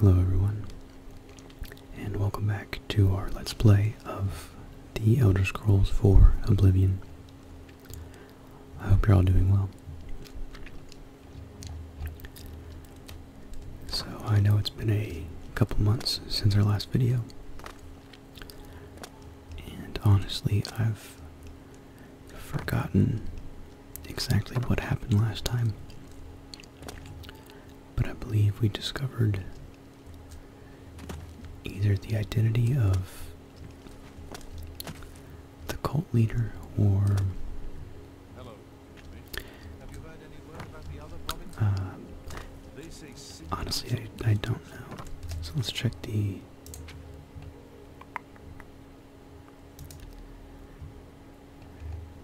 Hello everyone, and welcome back to our Let's Play of The Elder Scrolls IV Oblivion. I hope you're all doing well. So I know it's been a couple months since our last video, and honestly, I've forgotten exactly what happened last time. But I believe we discovered either the identity of the cult leader or uh, honestly, I, don't know. So let's check the.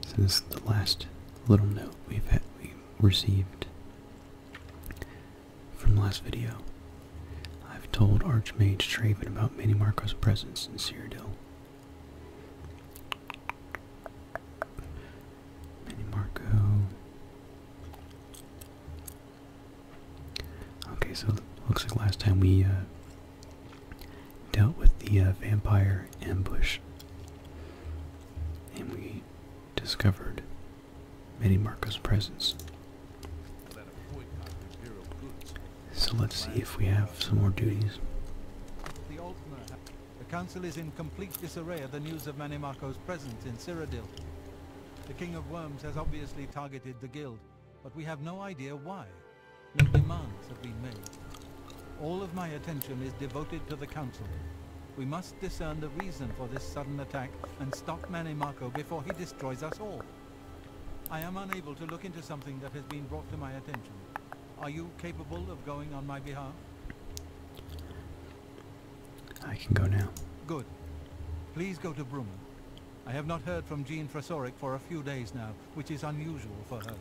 So this is the last little note we've had, we received from last video. I've told Archmage Traven about Mini Marco's presence in Cyrodiil. Mini Marco. Okay, so looks like last time we uh, dealt with the uh, vampire ambush, and we discovered Many Marco's presence. So let's see if we have some more duties. The council is in complete disarray at the news of Manimarco's presence in Cyrodiil. The King of Worms has obviously targeted the guild, but we have no idea why. No demands have been made. All of my attention is devoted to the council. We must discern the reason for this sudden attack and stop Manimarco before he destroys us all. I am unable to look into something that has been brought to my attention. Are you capable of going on my behalf? I can go now. Good. Please go to Brumman. I have not heard from Jean Frasoric for a few days now, which is unusual for her.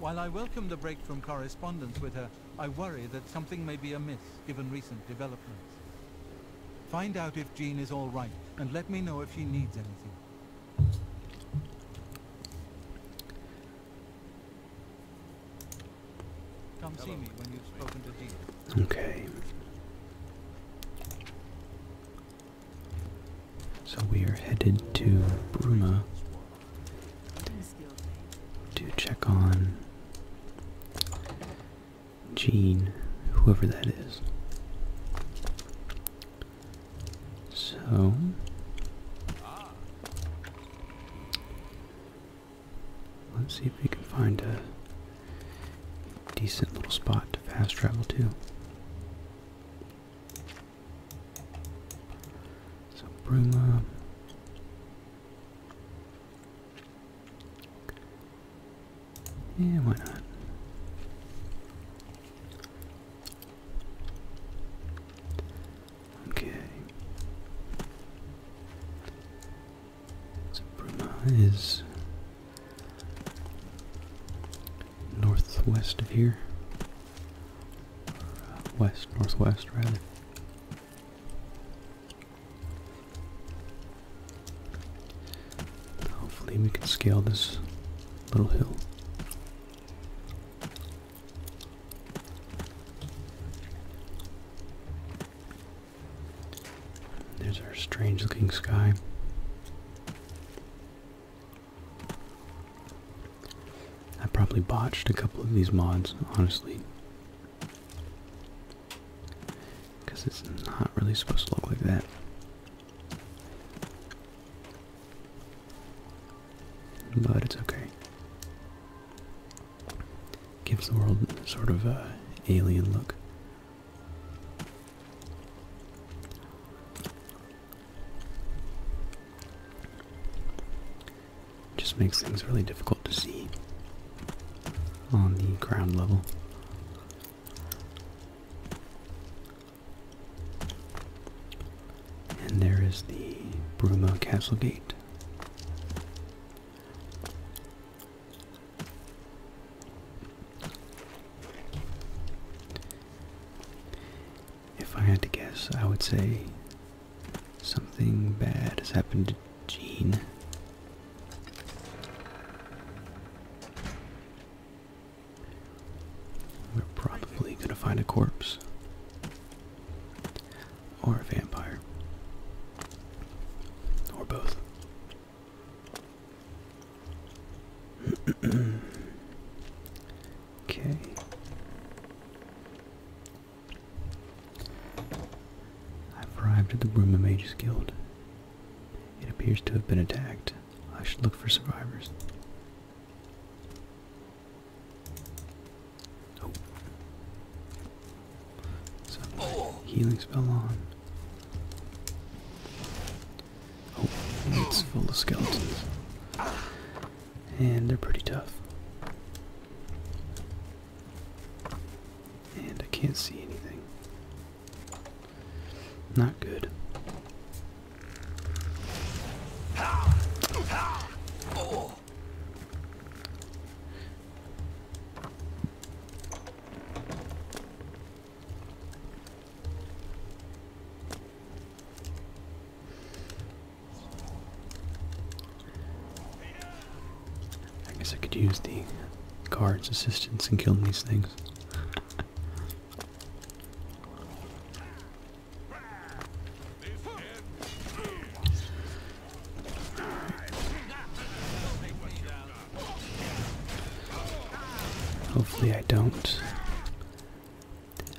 While I welcome the break from correspondence with her, I worry that something may be amiss, given recent developments. Find out if Jean is all right, and let me know if she needs anything. Come see me when you've spoken to Dean. Okay. So we are headed to Bruma to check on Jean, whoever that is. So Let's see if we can find a decent little spot to fast travel to. So Bruma. Yeah, why not? Okay. So is northwest of here. Uh, west, northwest rather. Hopefully we can scale this little hill. There's our strange looking sky. I probably botched a couple of these mods, honestly. Because it's not really supposed to look like that. But it's okay. Gives the world sort of a alien look. Just makes things really difficult to see on the ground level. And there is the Bruma Castle Gate. If I had to guess, I would say something bad has happened to Jean. We're probably going to find a corpse or a vampire, or both. okay. I've arrived at the room of Mage's Guild. It appears to have been attacked. I should look for survivors. Oh. healing spell on. Oh, it's full of skeletons. And they're pretty tough. And I can't see anything. Not good. Oh. I guess I could use the guard's assistance in killing these things. Hopefully I don't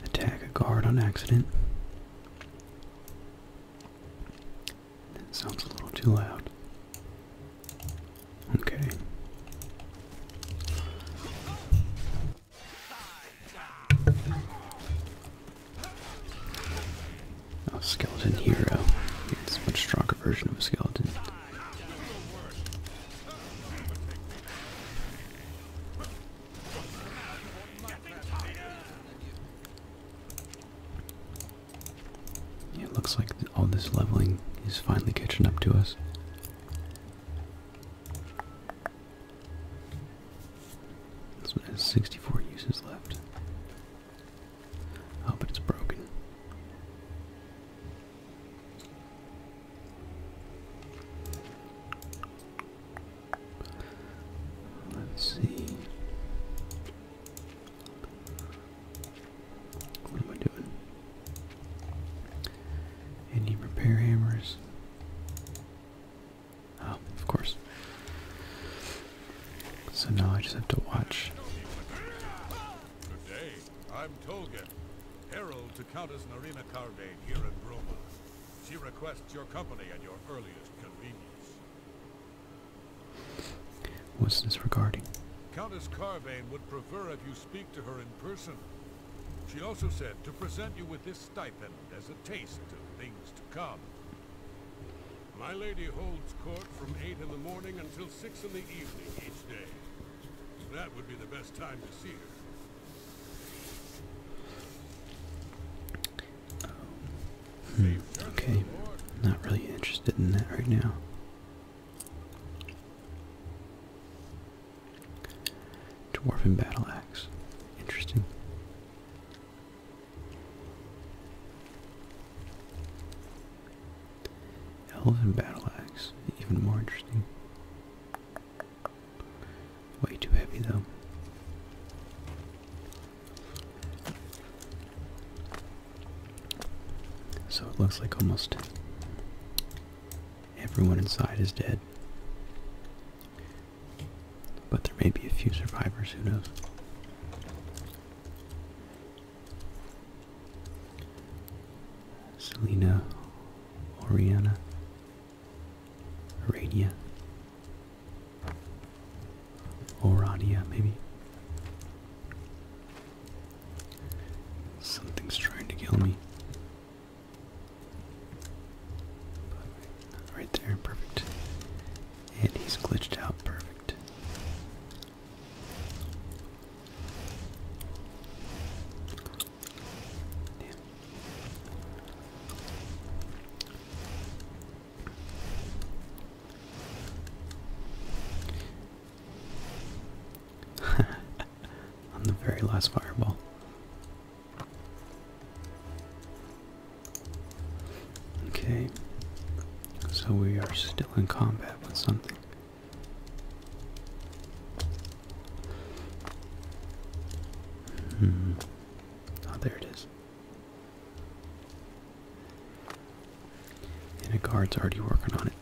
attack a guard on accident. That sounds a little too loud. Okay. Oh, skeleton hero. It's a much stronger version of a skeleton. it looks like all this leveling is finally catching up to us. This one has 64 uses left. Oh, but it's broken. Let's see. What am I doing? Any repair hammers? Oh, of course. So now I just have to watch. Good day. I'm Tolgan, herald to Countess Narina Carvane here in Broma. She requests your company at your earliest convenience. What's this regarding? Countess Carvane would prefer if you speak to her in person. She also said to present you with this stipend as a taste of things to come. My lady holds court from 8 in the morning until 6 in the evening each day. That would be the best time to see her. Hmm. Okay. Not really interested in that right now. Dwarven battle axe. Interesting. Elven battle axe, even more interesting. Way too heavy though. So it looks like almost everyone inside is dead. But there may be a few survivors, who knows? Selena, Oriana, Aradia, Oradia, maybe. Something's trying to kill me. Right there, perfect. And he's glitched out perfect. Damn. On the very last fireball. Okay. So we are still in combat with something. Oh, there it is. And a guard's already working on it.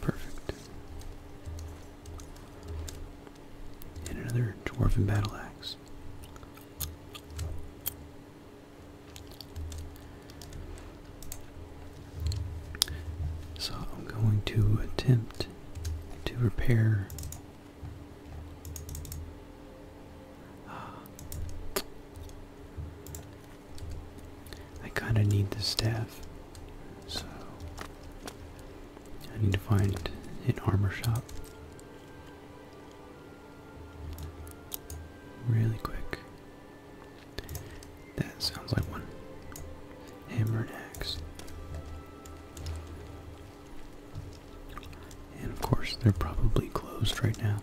Perfect. And another dwarven battle axe. So I'm going to attempt to repair I kind of need the staff, so I need to find an armor shop really quick. That sounds like one. Hammer and axe. And of course, they're probably closed right now.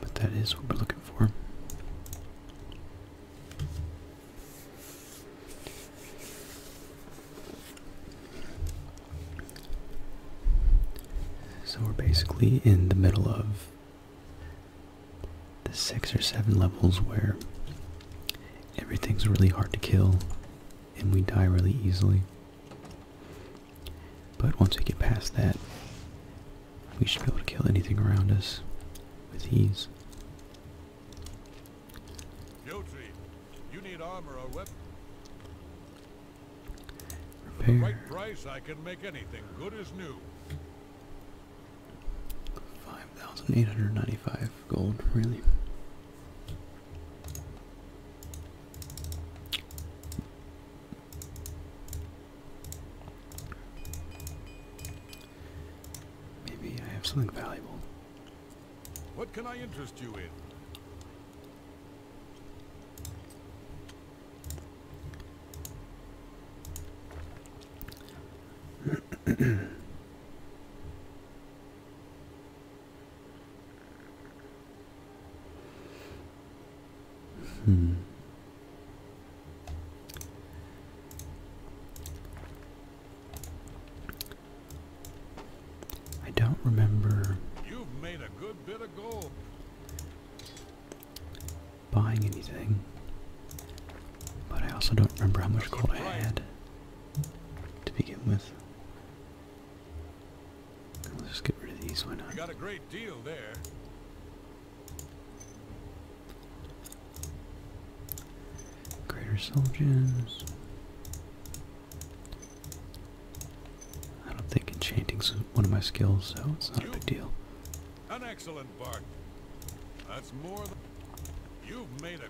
But that is what we're looking for. So we're basically in the middle of the six or seven levels where everything's really hard to kill and we die really easily. But once we get past that, we should be able to kill anything around us with ease. Guilty. You need armor or weapon. Repair. the right price I can make anything good as new. 5,895 gold, really. Maybe I have something valuable. What can I interest you in? hmm. I don't remember buying anything, but I also don't remember how much gold I had to begin with. Let's just get rid of these, why not? got a great deal there. Greater soul I don't think enchanting is one of my skills, so it's not a big deal. An excellent bargain. That's more than you've made a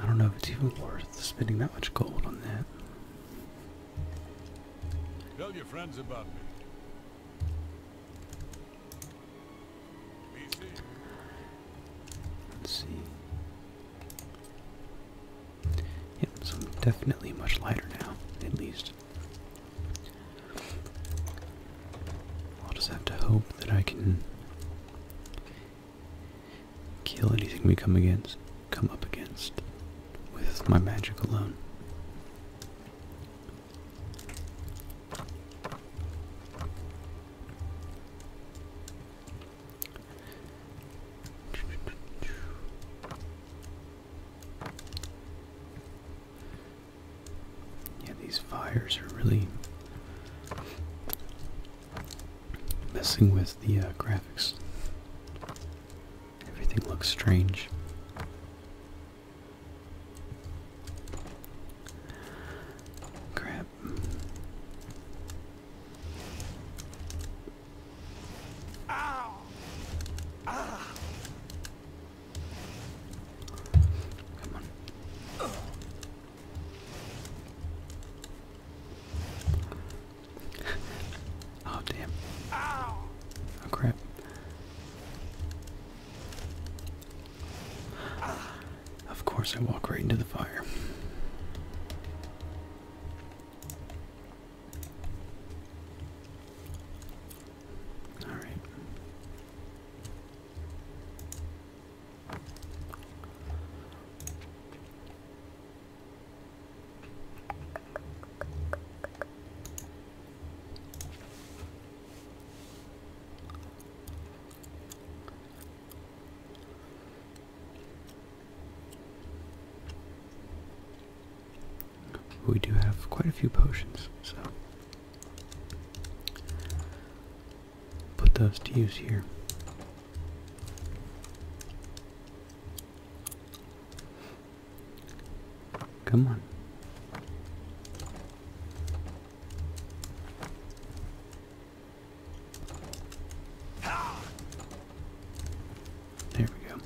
I don't know if it's even worth spending that much gold on that. Tell your friends about me. Let's see. Yep, so definitely much lighter now, at least. I'll just have to hope that I can kill anything we come against come up against with my magic alone. Yeah, these fires are really messing with the uh, graphics. Everything looks strange. Crap. Ow. Ah oh damn. Oh crap. Of course I walk right into the fire. All right. We do have quite a few potions, so put those to use here. Come on. There we go.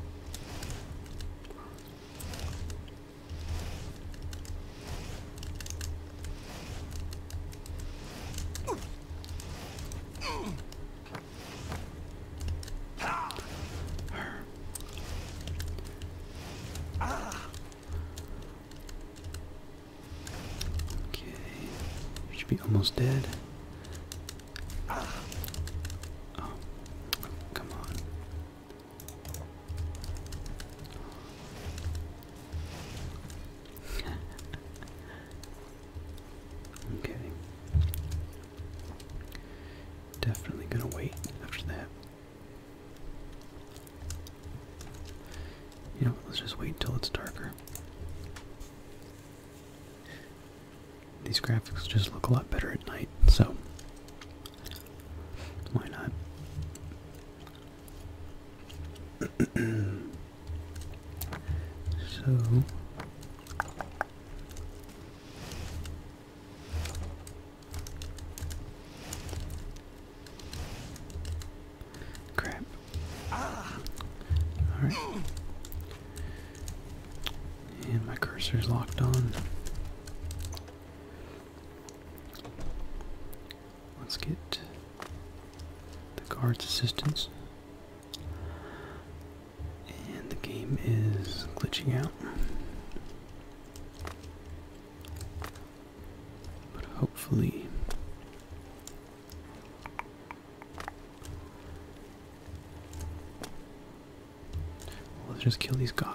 Okay, you should be almost dead. Oh, come on okay. Definitely gonna wait after that. You know, let's just wait until it's darker. These graphics just look a lot better at night, so why not? so crap. Ah. All right. And my cursor's locked on. Let's get the guard's assistance. And the game is glitching out. But hopefully Let's just kill these guys.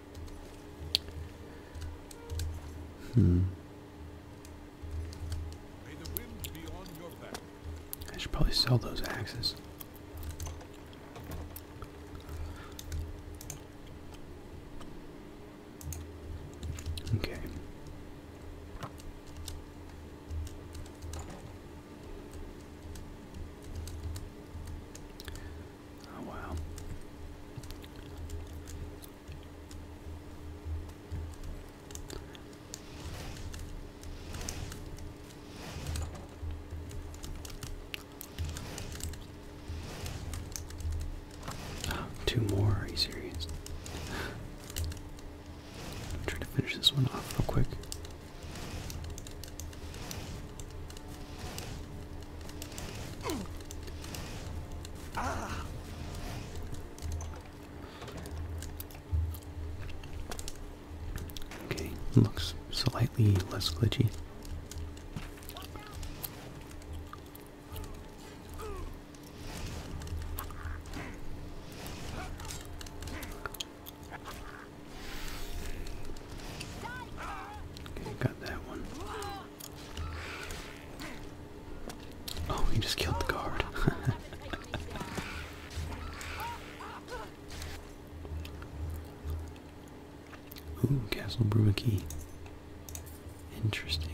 Hmm. I should probably sell those axes. Okay. Oh wow. Oh, two more, are you serious? I'm trying to finish this one off real quick. Okay, looks slightly less glitchy. Okay, got that one. Oh, he just killed the guard. Ooh, Castle Brew Interesting.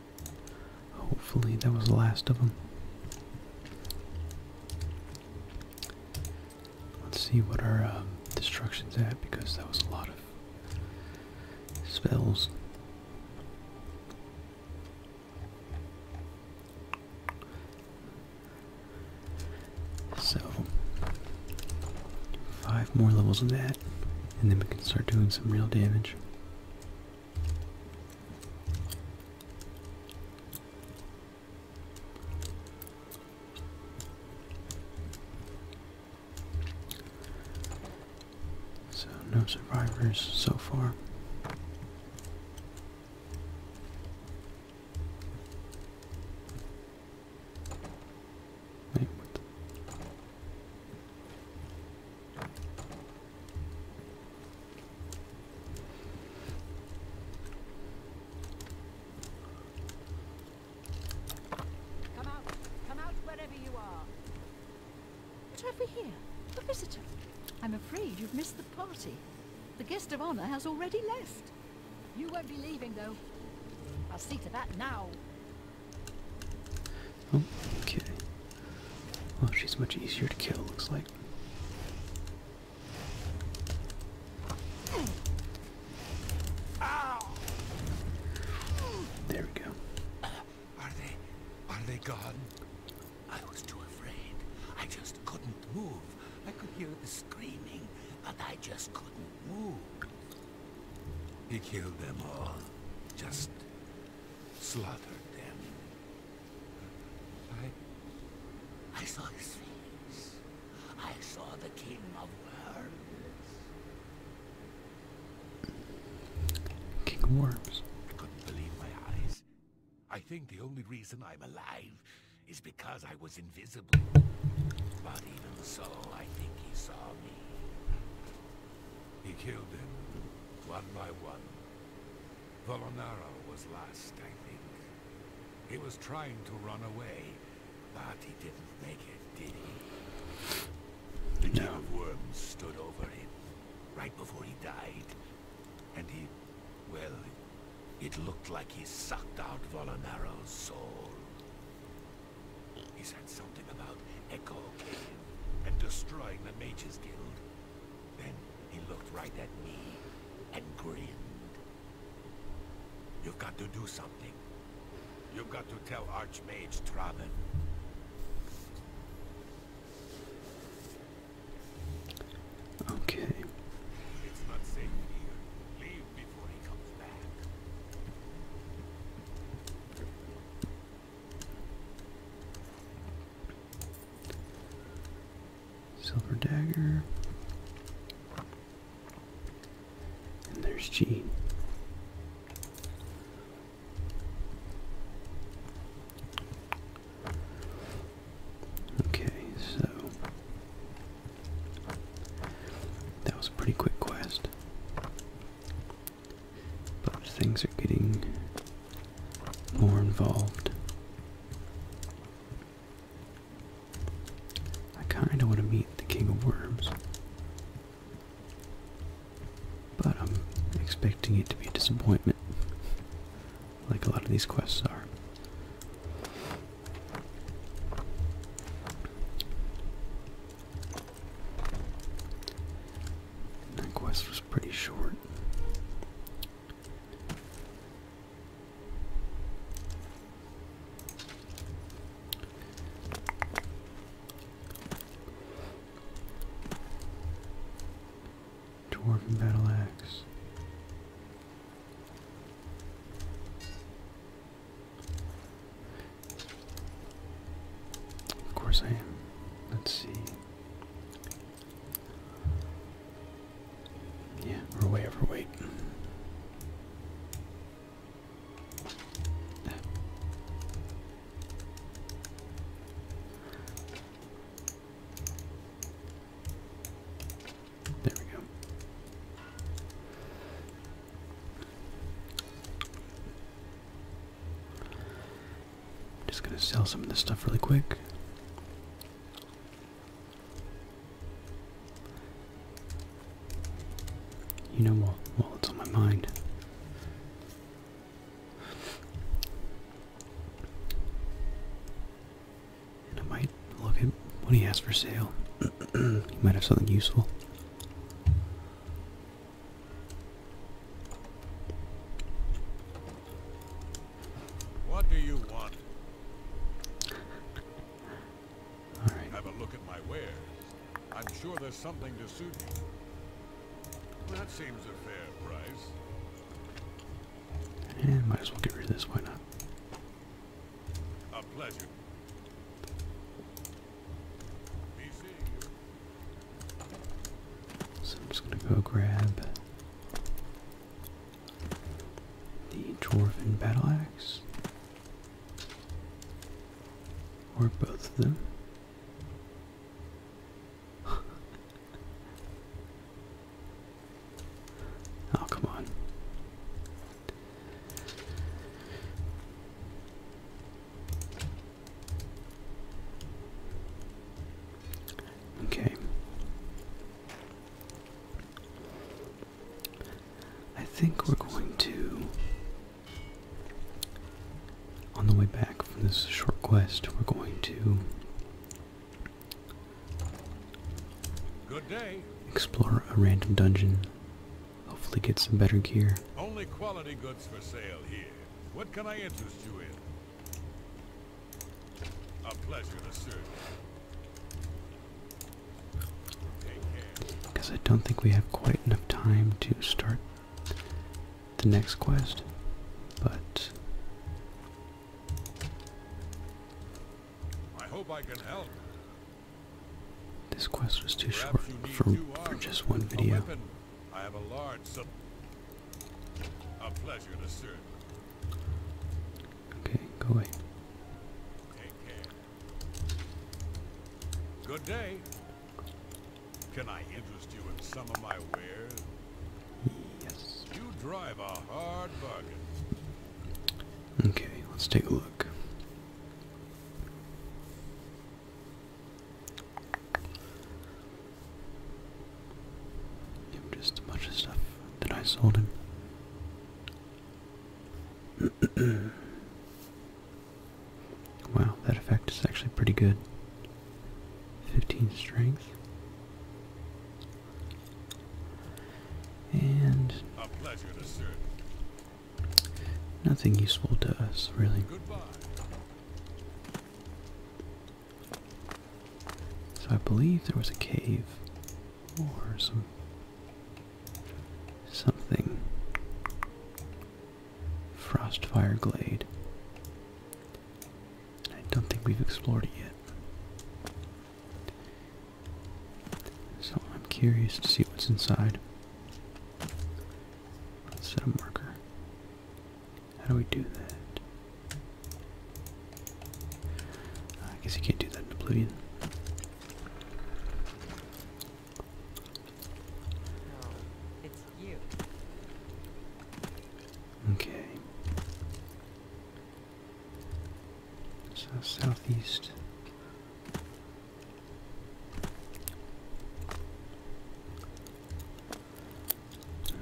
Hopefully that was the last of them. Let's see what our um, destruction's at because that was a lot of spells. So, five more levels of that, and then we can start doing some real damage. So, no survivors so far. Wait, Come out. Come out wherever you are. What have we here? A visitor. I'm afraid you've missed the party. The guest of honor has already left. You won't be leaving, though. I'll see to that now. Oh, okay. Well, she's much easier to kill, looks like. There we go. Are they are they gone? I was too afraid. I just couldn't move. I could hear the screaming, but I just couldn't move. He killed them all. Just slaughtered them. I... I saw his face. I saw the king of worms. King of worms. I couldn't believe my eyes. I think the only reason I'm alive is because I was invisible. But even so, I think he saw me. He killed them, one by one. Volonaro was last, I think. He was trying to run away, but he didn't make it, did he? The King of Worms stood over him, right before he died. And he, well, it looked like he sucked out Volanaro's soul. He said something about Echo Cave and destroying the Mages Guild. Then he looked right at me and grinned. You've got to do something. You've got to tell Archmage Traven. Okay. Silver dagger. And there's G. Okay, so that was a pretty quick quest. But things are getting more involved. I kind of want to meet the King of Worms. But I'm expecting it to be a disappointment, like a lot of these quests are that quest was pretty short. Dwarven battle axe. Of course I am. Let's see. Yeah, we overweight. There we go. Just gonna sell some of this stuff really quick. You know, what? while it's on my mind, and I might look at what he has for sale. he might have something useful. What do you want? Have a look at my wares. I'm sure there's something to suit you. That seems a fair price. Eh, might as well get rid of this, why not? A pleasure. So I'm just going to go grab the Dwarven Battle Axe, or both of them. oh, come on. Okay. I think we're going to, on the way back from this short quest, we're going to explore a random dungeon. Hopefully, get some better gear. What can I interest you in? A pleasure to serve Because I don't think we have quite enough time to start the next quest, but. I hope I can help. This quest was too short for, for just one video. I have a large sub. A pleasure to serve. Okay, go away. Good day. Can I interest you in some of my wares? Yes. You drive a hard bargain. Okay, let's take a look just a bunch of stuff that I sold him. wow, that effect is actually pretty good. 15 strength. And Nothing useful to us, really. So I believe there was a cave or some something. Frostfire Glade. I don't think we've explored it yet. So I'm curious to see what's inside. Let's set a marker. How do we do that? I guess you can't do that in Oblivion. No, Okay. So southeast.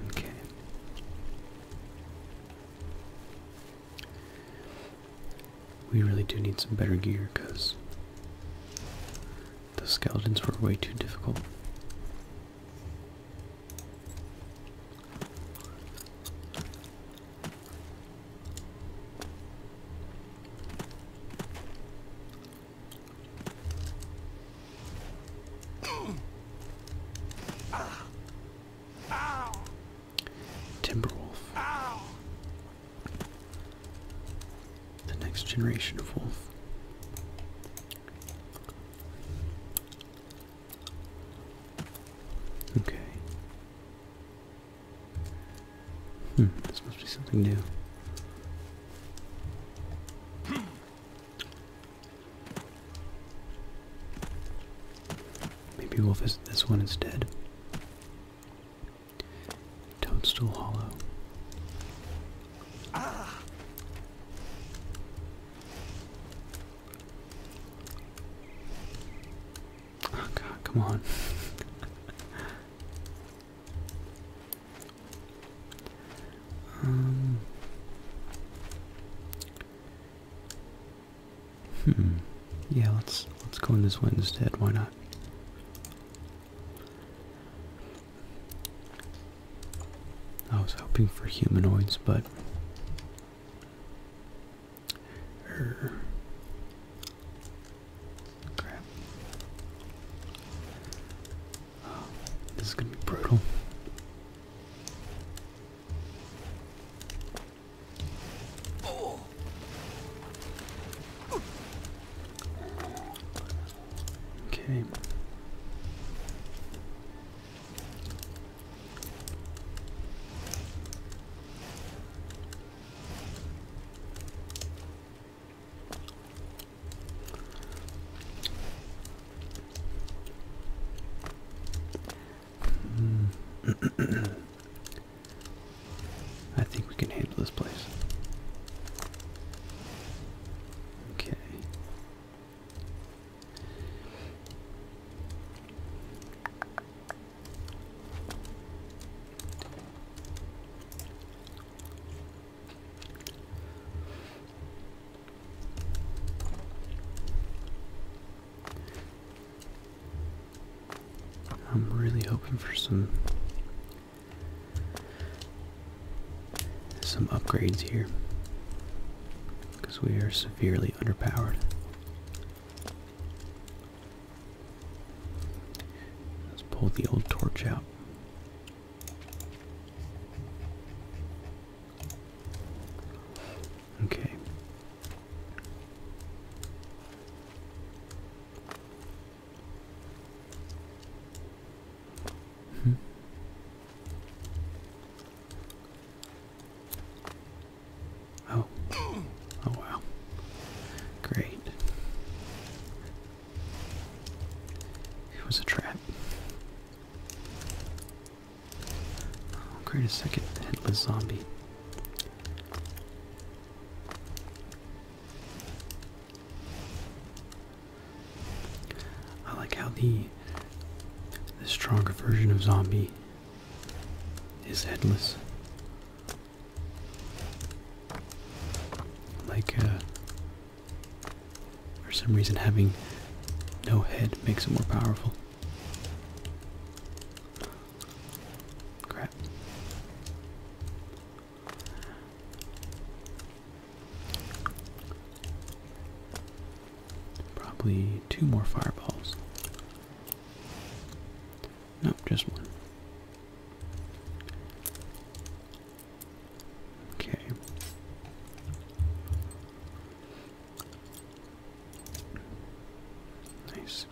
Okay. We really do need some better gear because the skeletons were way too difficult. Timberwolf. The next generation of wolf. Okay. Hmm, this must be something new. Hmm. Maybe we'll visit this one instead. Toadstool Hollow. Ah. Oh god, come on. Um, hmm. Yeah, let's let's go in this one instead. Why not? I was hoping for humanoids, but this is gonna be brutal. Okay. Hmm. I think we can handle this place. Okay. I'm really hoping for some some upgrades here because we are severely underpowered. Let's pull the old torch out. Okay. Hmm. Oh. Oh wow. Great. It was a trap. I'll oh, create a second headless zombie. I like how the the stronger version of zombie is headless. Like a. Uh, for some reason, having no head makes it more powerful. Crap. Probably two more fireballs. Nope, just one. Okay. Nice.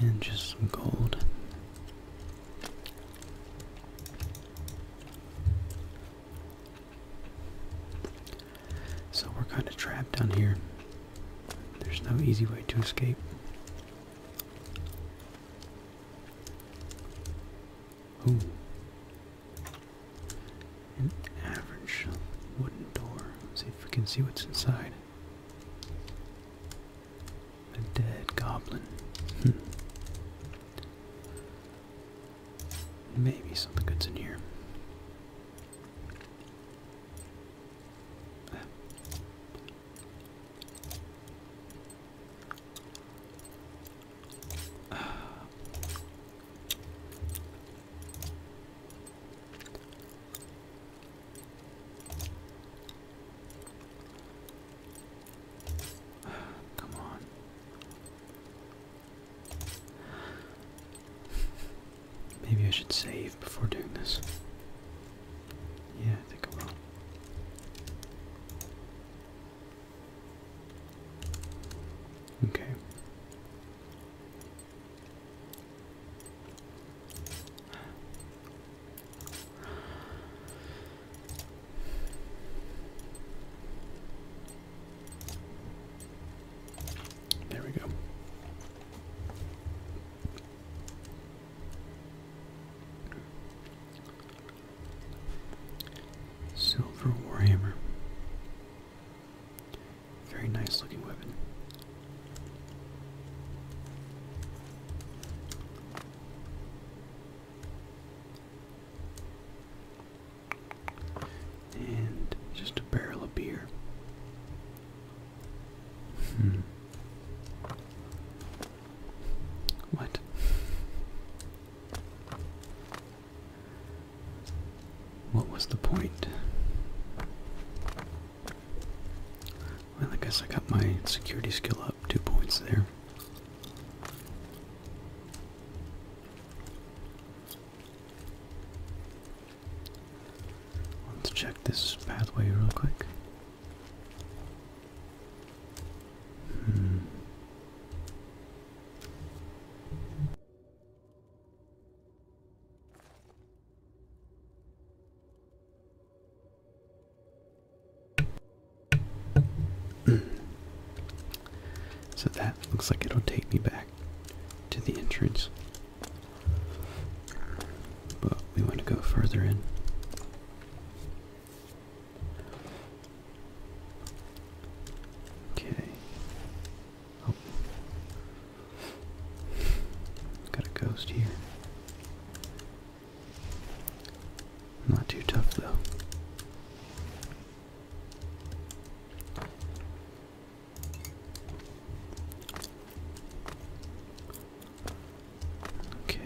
And just some gold. So we're kind of trapped down here. There's no easy way to escape. Ooh. An average wooden door. see if we can see what's inside. A dead goblin. Hmm. Maybe something good's in here. Come on. Maybe I should save before doing this. Yeah, I think I will. Okay. There we go. Silver Warhammer. Very nice looking weapon. And just a barrel of beer. Hmm. What? What was the point? Well, I guess I got my security skill up two points there. Let's check this pathway real quick. Hmm. So that looks like it'll take me back to the entrance. But we want to go further in. Okay. Oh. Got a ghost here. Not too tough though. Okay.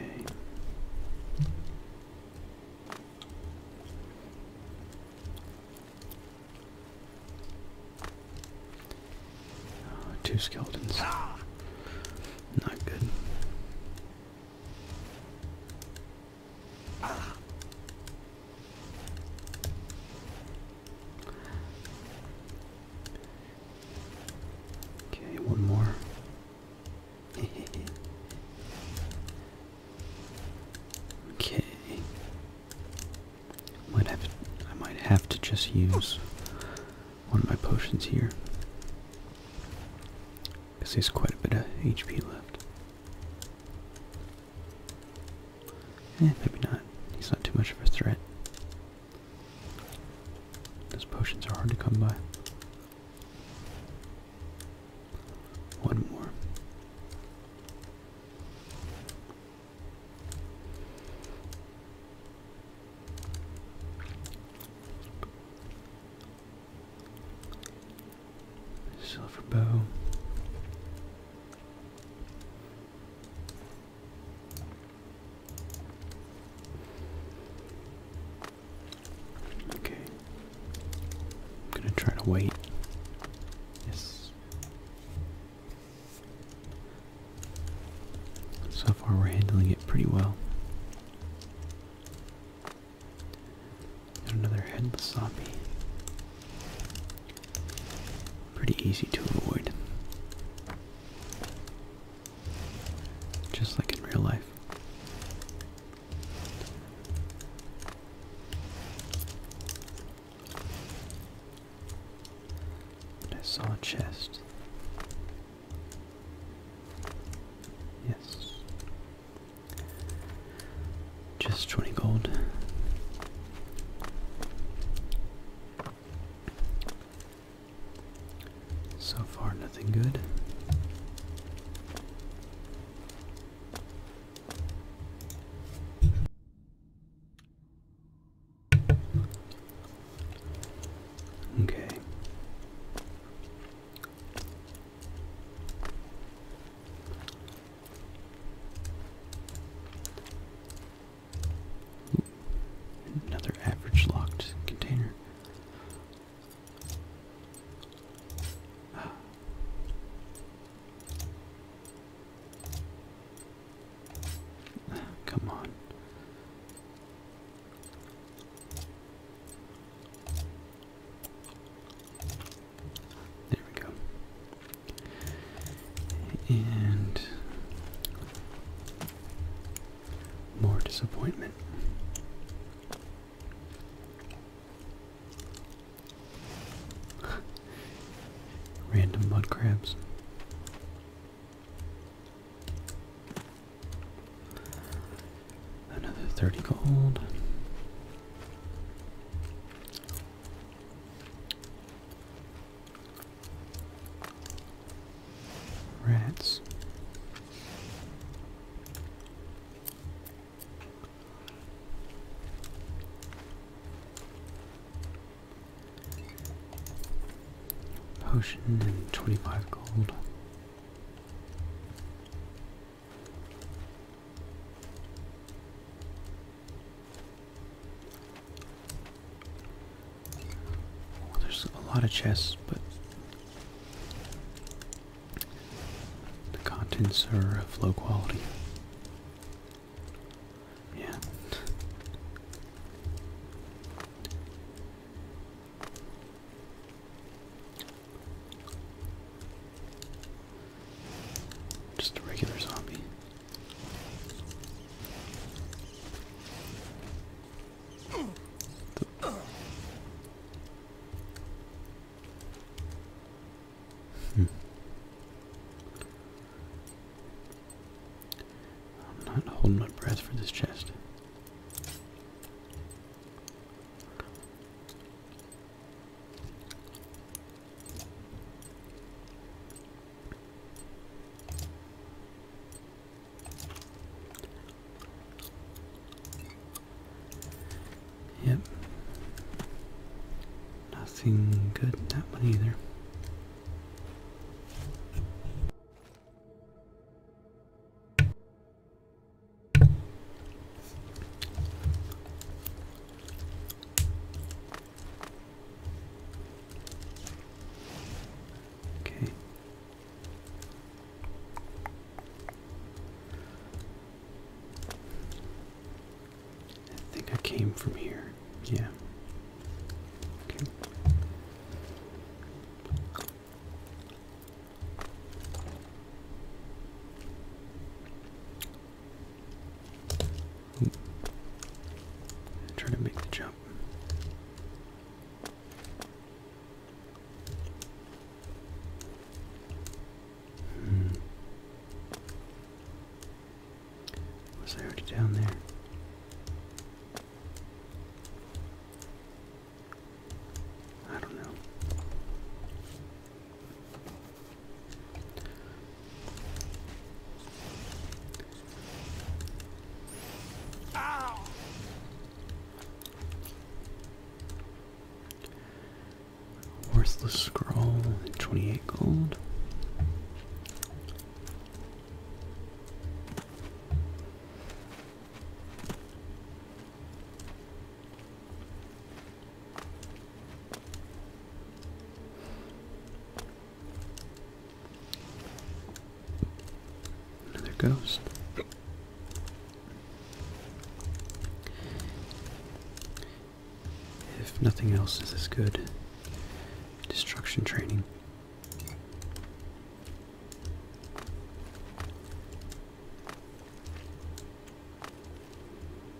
Oh, two skeletons. Not good. Okay, one more. okay. Might have to, I might have to just use one of my potions here. Because there's quite a bit of HP left maybe not. He's not too much of a threat. Those potions are hard to come by. One more. Silver bow. Okay. I'm going to try to wait. Yes. So far we're handling it pretty well. another headless zombie. Pretty easy to avoid. Just like in real life. I saw a chest. Yes. Just 20 gold. So far, nothing good. Okay another average locked container. come on. There we go. And more disappointment. Random mud crabs. Another 30 gold. Rats. Potion and 25 gold. Oh, there's a lot of chests, but the contents are of low quality. Yeah. Just a regular zombie. Hmm. I'm not holding my breath for this chest. Yep. Nothing good that one either. Okay. I think I came from here. Yeah. Okay. Trying to make the jump. Hmm. Was I down there? I don't know. Worthless scroll, twenty-eight gold. Another ghost. If nothing else is as good, destruction training.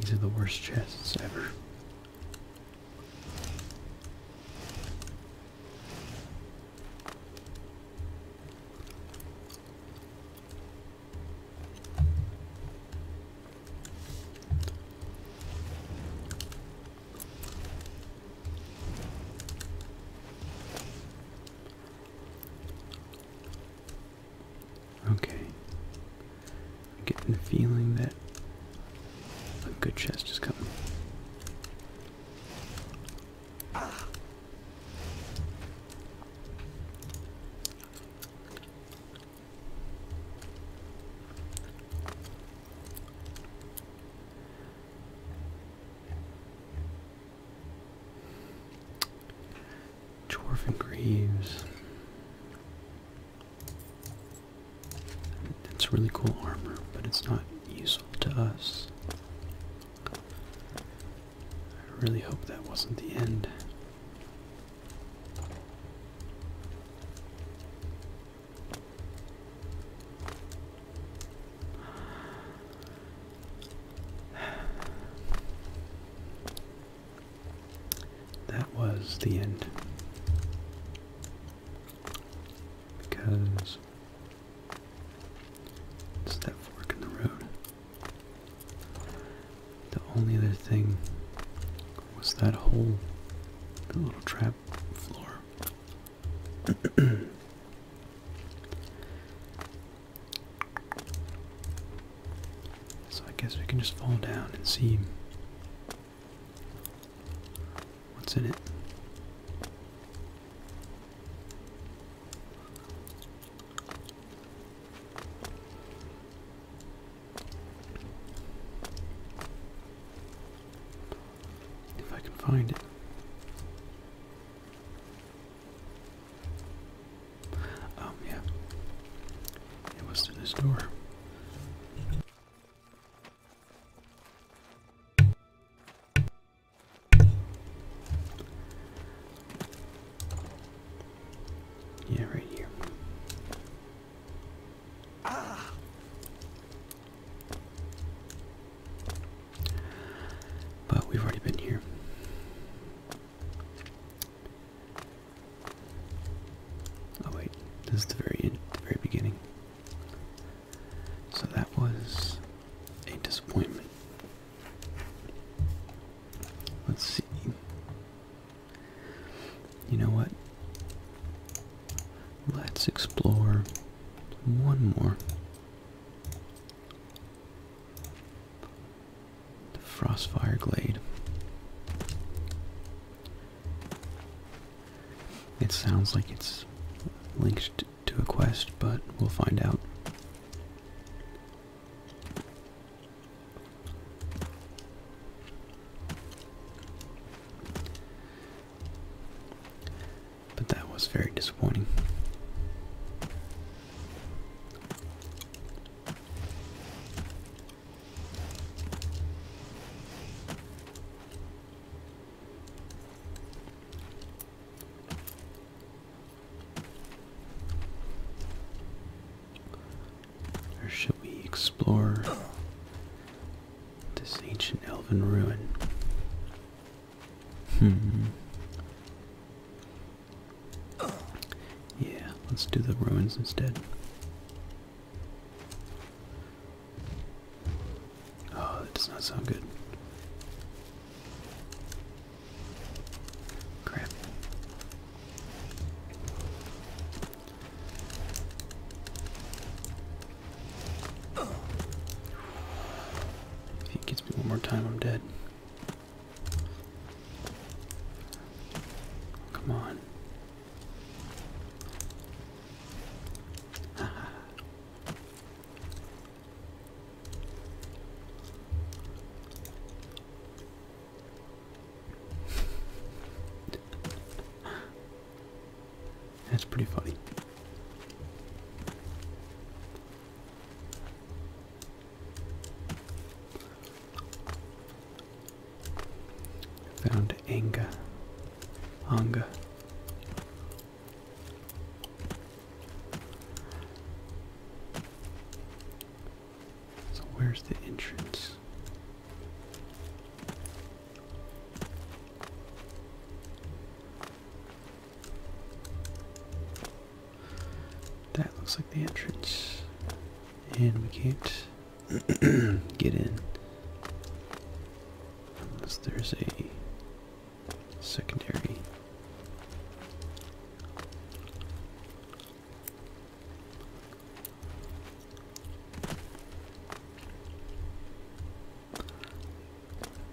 These are the worst chests ever. Okay. I'm getting the feeling that a good chest is coming. Dwarf and it's really cool armor, but it's not useful to us. I really hope that wasn't the end that was the end. Because it's that fork in the road. The only other thing was that hole, the little trap floor. So I guess we can just fall down and see what's in it. If I can find it. Um, yeah. It was in this door? Yeah, right here. Ah. But we've already been here. Oh wait, this is the very the very beginning. So that was a disappointment. Let's see. You know what? Let's explore one more. The Frostfire Glade. It sounds like it's linked to a quest, but we'll find out. But that was very disappointing. Or should we explore this ancient elven ruin? Hmm. Yeah, let's do the ruins instead. Oh, that does not sound good. Crap. If he gets me one more time, I'm dead. Come on. That's pretty funny. Found anger. Anger. So where's the entrance? That looks like the entrance. And we can't get in. Unless there's a secondary.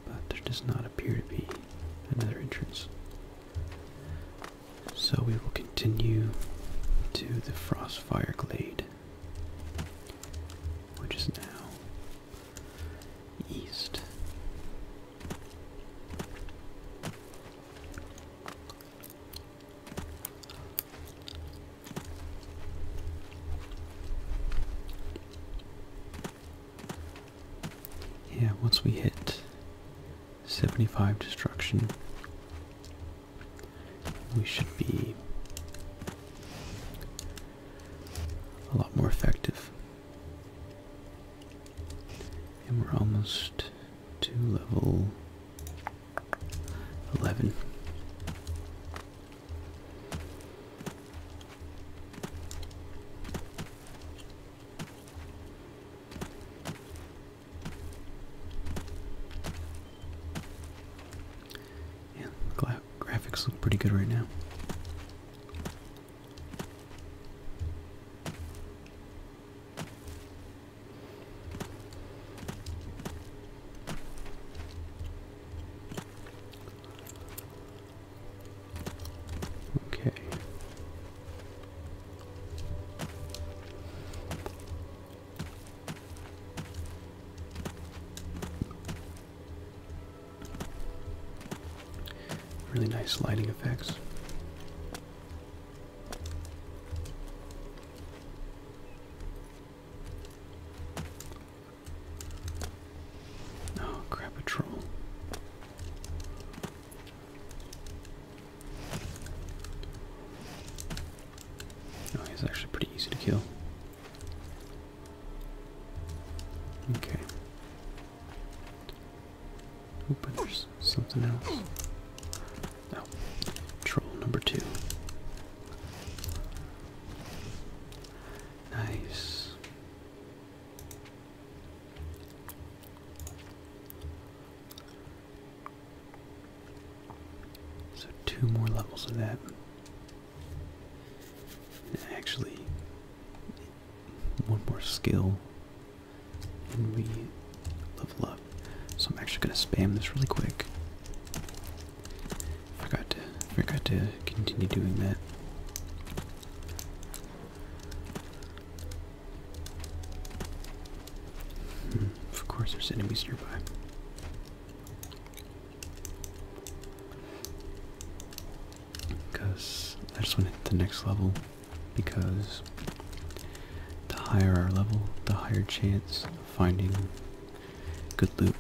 But there does not appear to be another entrance. So we will continue to the Frostfire Glade, which is now east. Yeah, once we hit 75 destruction. We should be a lot more effective. And we're almost to level 11. Yeah, graphics look pretty good right now. Okay. Really nice lighting effects. Oh, crap, a troll. Oh, he's actually pretty easy to kill. Okay. Oh, but there's something else. Oh, troll number two. Nice. So, two more levels of that. actually, one more skill, and we level up. So, I'm actually going to spam this really quick. Forgot to, forgot to continue doing that of course, there's enemies nearby. Because I just want to hit the next level. Because the higher our level, the higher chance of finding good loot.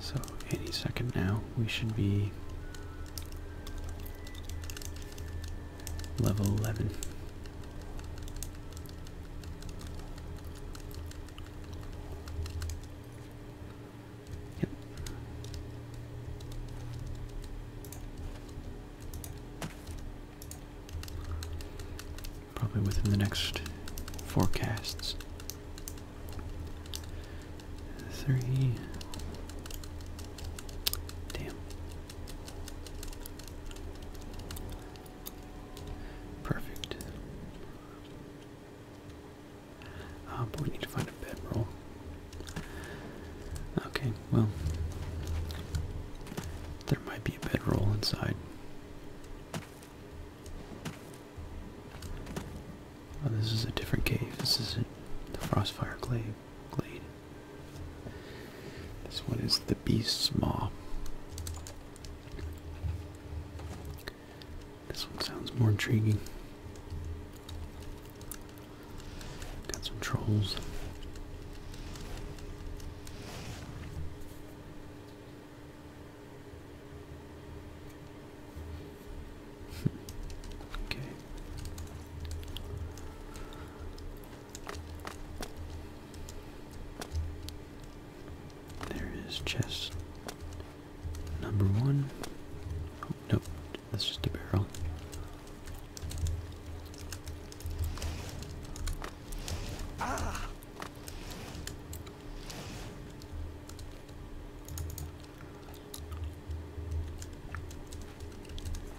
So, any second now, we should be level 11. Probably within the next forecasts. Three. Damn. Perfect. Uh, but we need to find a bedroll. Okay, well, there might be a bedroll inside. Oh, this is a different cave. This isn't the Frostfire glade. glade. This one is the Beast's Maw. This one sounds more intriguing. Got some trolls. okay. There is chest number one. Nope, that's just a barrel.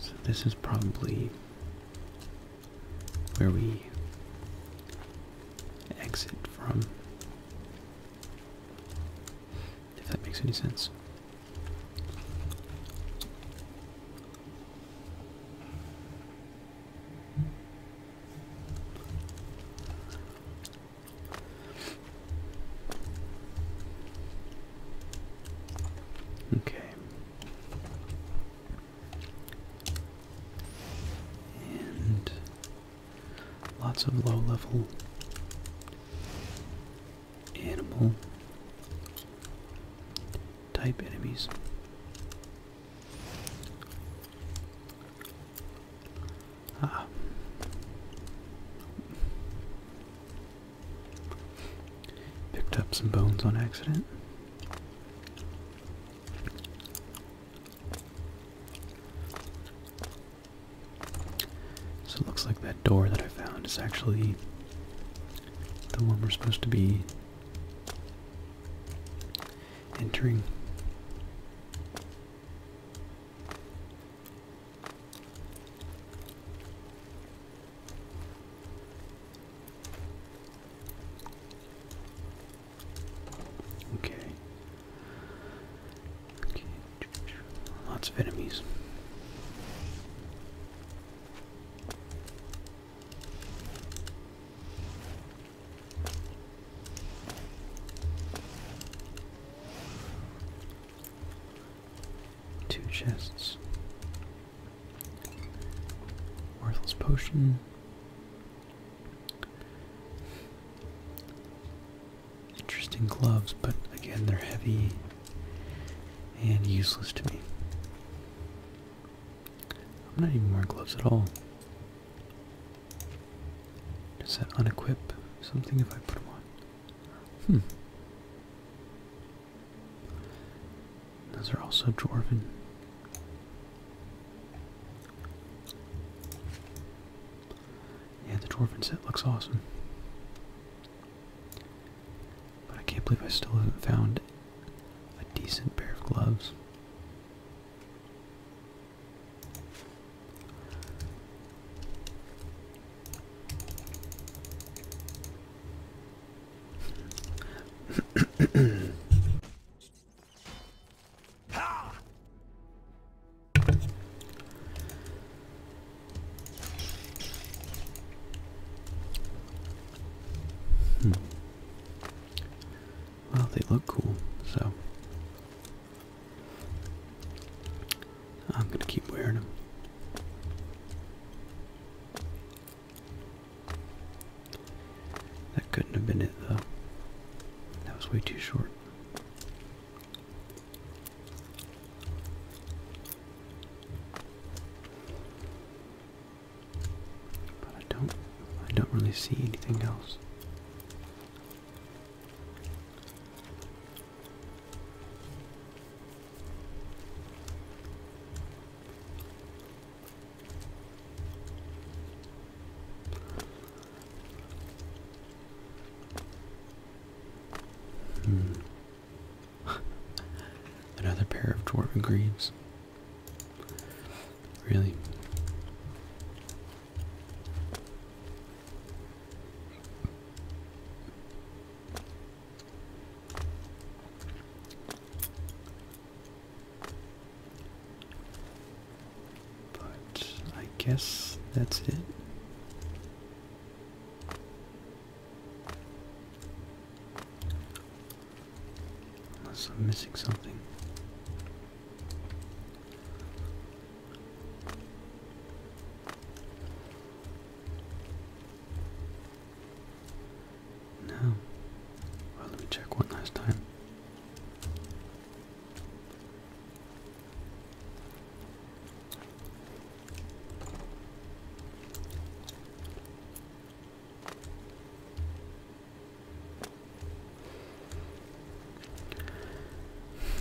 So this is probably where we exit from. If that makes any sense. Okay. And Lots of low level animal type enemies. Ah. Picked up some bones on accident. So it looks like that door that I found is actually the one we're supposed to be entering. Okay. Okay. Lots of enemies. Two chests. Worthless potion. Interesting gloves, but again, they're heavy and useless to me. I'm not even wearing gloves at all. Does that unequip something if I put them on? Hmm. Those are also dwarven. Yeah, the dwarven set looks awesome. But I can't believe I still haven't found a decent pair of gloves. Hmm. Well, they look cool, so I'm going to keep wearing them. That couldn't have been it, though. That was way too short. But I don't I don't really see anything else. Hmm. Another pair of dwarf greaves. Really? But I guess that's it. Unless I'm missing something. No. Well, let me check one last time.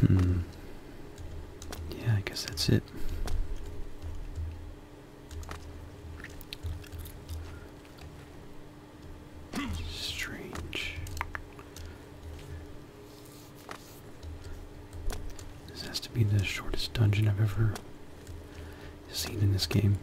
Hmm. Yeah, I guess that's it. Strange. This has to be the shortest dungeon I've ever seen in this game.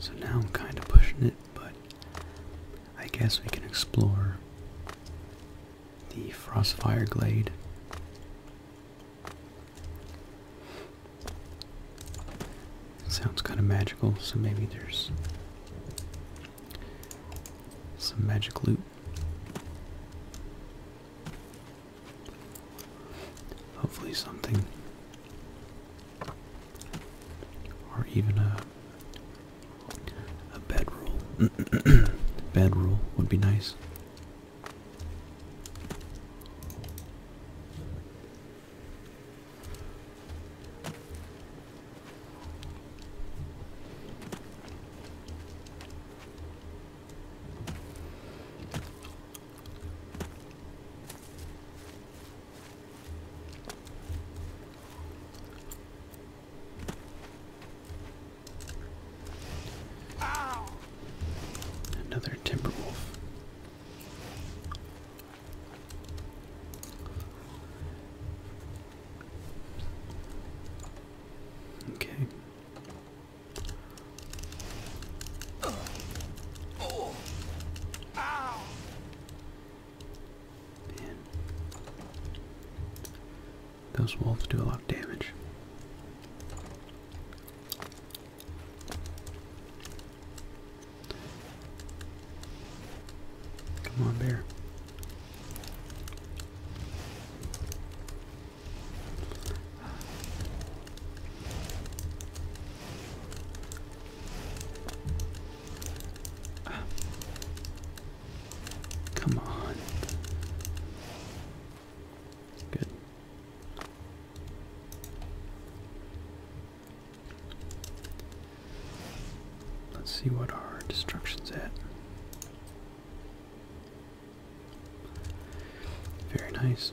So now I'm kind of pushing it, but I guess we can explore the Frostfire Glade. sounds kind of magical, so maybe there's some magic loot. Hopefully, something. Or even a, a bed rule. rule would be nice. Another timber Okay. Man. Those wolves do a lot of damage. Come on, bear. Come on. Good. Let's see what our destruction's at. Very nice.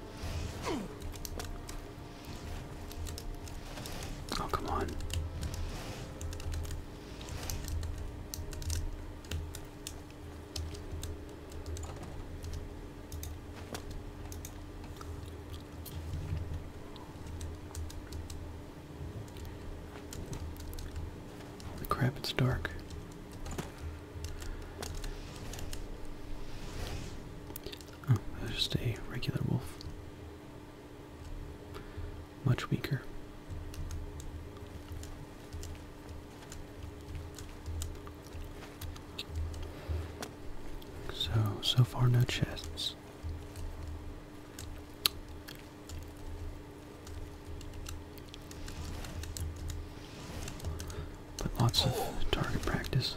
Oh, come on. crap, it's dark. Oh, that's just a regular wolf. Much weaker. So, so far no chests. But lots of target practice.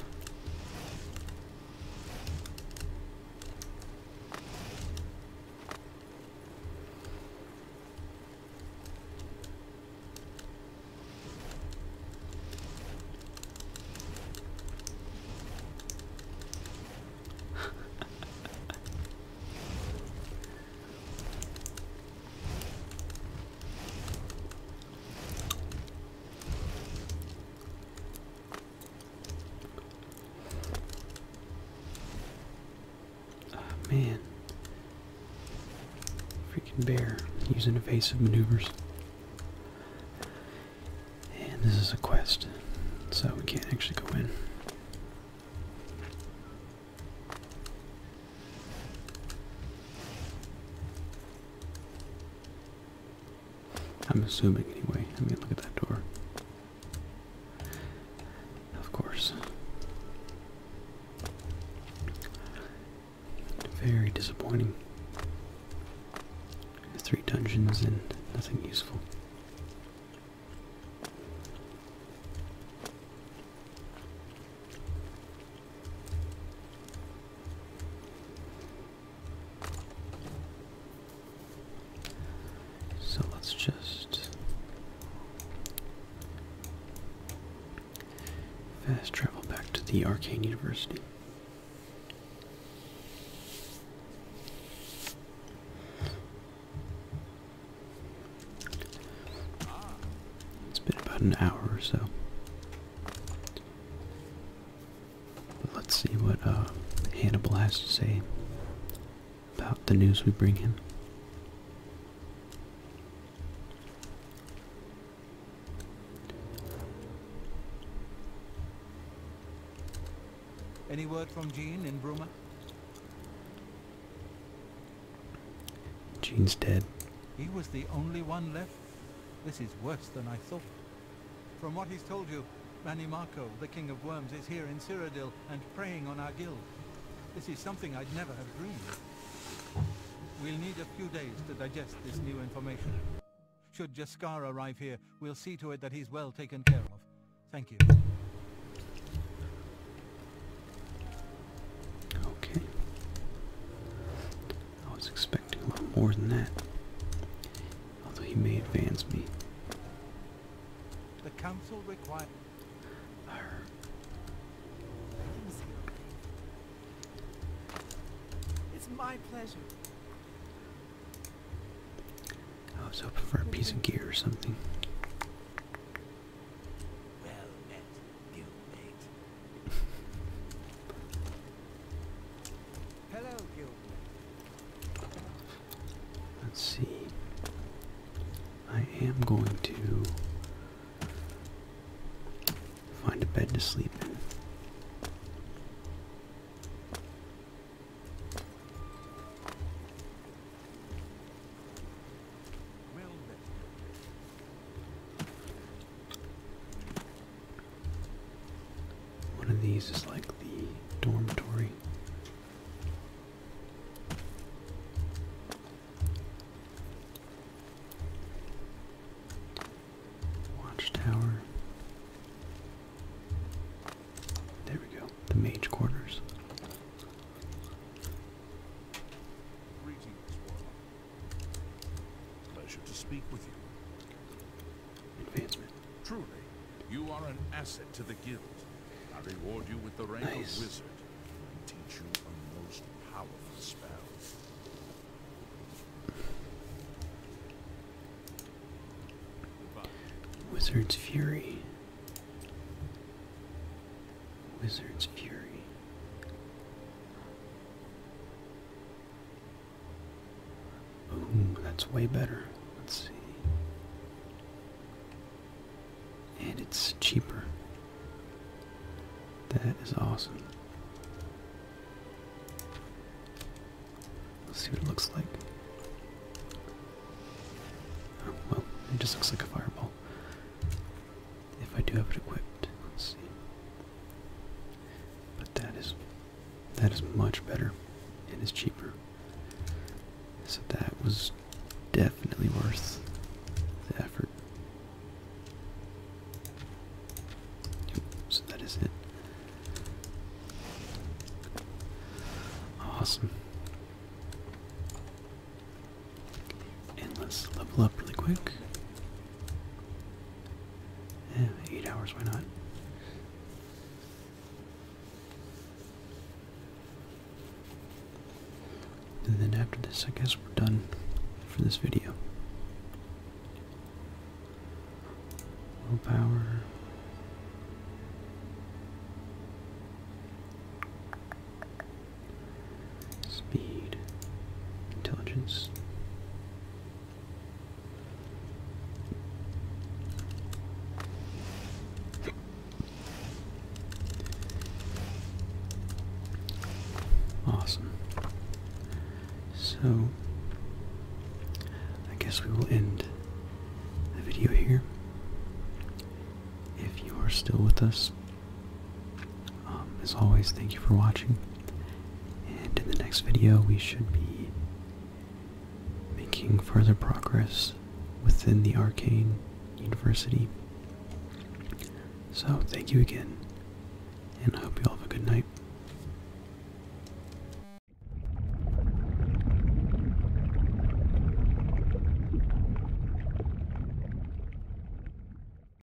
Oh, man. Freaking bear using evasive maneuvers. And this is a quest, so we can't actually go in. I'm assuming anyway. I mean, look at that door. Of course. Very disappointing. Three dungeons and nothing useful. So let's just fast travel back to the Arcane University. It's been about an hour or so let's see what uh, Hannibal has to say about the news we bring him. Any word from Jean in Bruma? Jean's dead. He was the only one left this is worse than I thought. From what he's told you, Manimarco, the King of Worms, is here in Cyrodiil and preying on our guild. This is something I'd never have dreamed. We'll need a few days to digest this new information. Should Jaskar arrive here, we'll see to it that he's well taken care of. Thank you. Okay. I was expecting a lot more than that. Although he may advance me. The council requires. It's my pleasure. I was hoping for a piece of gear or something. Well met. Hello, guild. Let's see. I am going to find a bed to sleep in. One of these is like the dormitory. Watchtower. There we go. The mage quarters. Pleasure to speak with you. Advancement. Truly, you are an asset to the guild. I reward you with the rank of wizard and teach you a most powerful spell. Wizard's Fury. Wizard's Fury. Ooh, that's way better. Let's see. And it's cheaper. That is awesome. Let's see what it looks like. Oh, well, it just looks like a fireball. If I do have it equipped, let's see. But that is that is much better and is cheaper. So that was definitely worth the effort. so that is it. Awesome. And let's level up really quick eight hours, why not? And then after this, I guess we're done for this video. Willpower. Speed. Intelligence. Awesome. So, I guess we will end the video here. If you are still with us, um, as always, thank you for watching. And in the next video, we should be making further progress within the Arcane University. So, thank you again, and I hope you all have a good night.